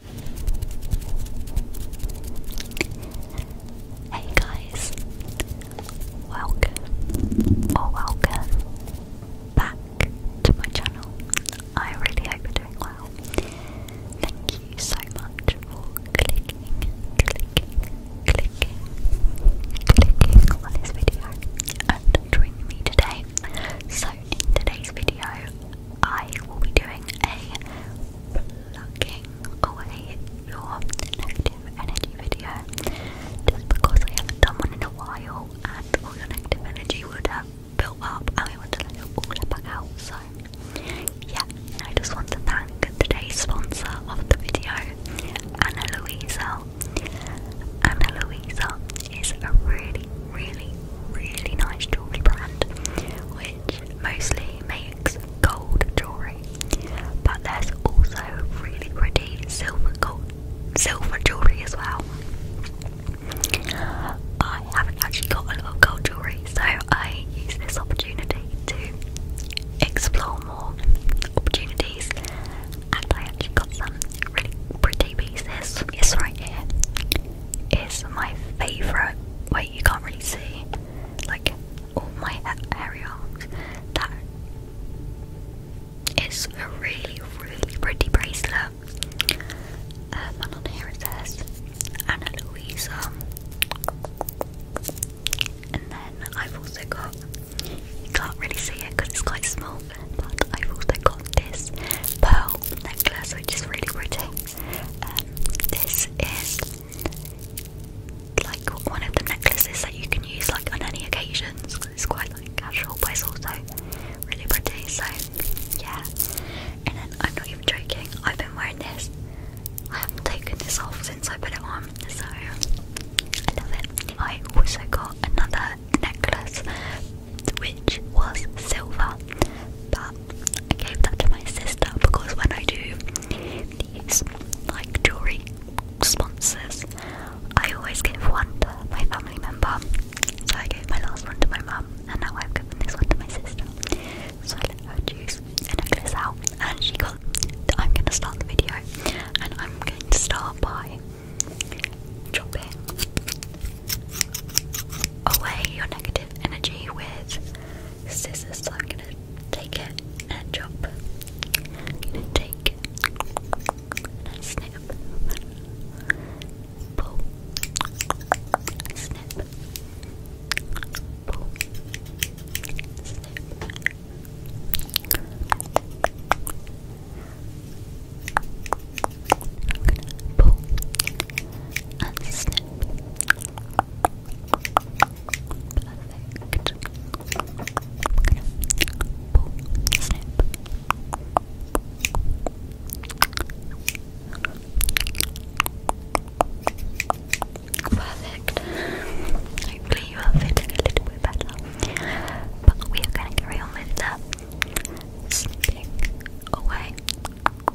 Hey guys, welcome or welcome back to my channel. I really hope you're doing well. Thank you so much for clicking, clicking, clicking, clicking on this video and joining me today. So, in today's video, I will be doing a plucking away your negative energy video just because I haven't done one in a while and all your negative energy would have built up and we want to let it all back out. So, yeah, I just want to thank today's sponsor of the video, Ana Luisa. Ana Luisa is a really, really, really nice jewelry brand mostly makes gold jewelry, but there's also really pretty silver gold, silver jewelry as well. I haven't actually got a lot of gold jewelry, so I use this opportunity to explore more opportunities, and I actually got some really pretty pieces. Yes, right here is my favourite. Wait, you can't really see, like all my areoles. That is a really, really pretty bracelet. Um, and on here it says Anna Louisa. And then I've also got, you can't really see it because it's quite small, but I've also got this pearl necklace, which is really pretty this is like one of the necklaces that you can use like on any occasions. It's quite like casual, but also really pretty. So yeah. And then I'm not even joking. I've been wearing this. I haven't taken this off since I put it on, so I love it. I also got another necklace which was silver, but I gave that to my sister because when I do these like jewelry sponsors, I always give one to my family member. So I gave my last one to my mum, and now I've given this one to my sister. So I let her choose a necklace out, and she got. I'm gonna start the video, and I'm going to start by dropping away your negative energy with scissors. So I'm gonna take it and chop. I'm gonna take and snip. Pull. Snip. pull, and Perfect. Hopefully you are feeling a little bit better. But we are going to carry on with that away.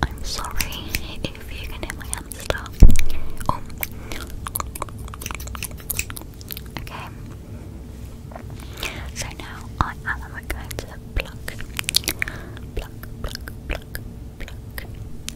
I'm sorry if you can hear my hamster. Oh. Okay. So now I am going to pluck, pluck, pluck, pluck, pluck,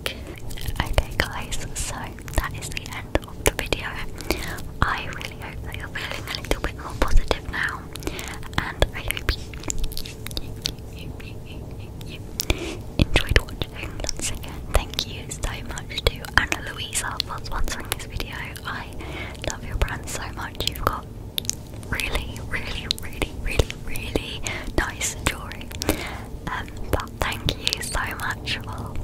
Okay, guys, so that is the end of the video. I really hope that you're feeling a little bit more positive now, and I hope you, enjoyed watching. Once again, thank you so much to Anna Louisa for sponsoring this video. I love your brand so much. You've got really, really, really, really, really nice jewelry. Um, but thank you so much for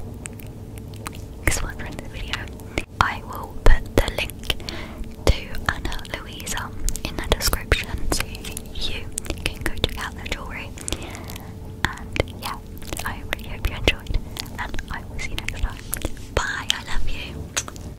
sponsoring the video. I will put the link to Anna Louisa in the description so you can go check out their jewelry. And yeah, I really hope you enjoyed, and I will see you next time. Bye, I love you.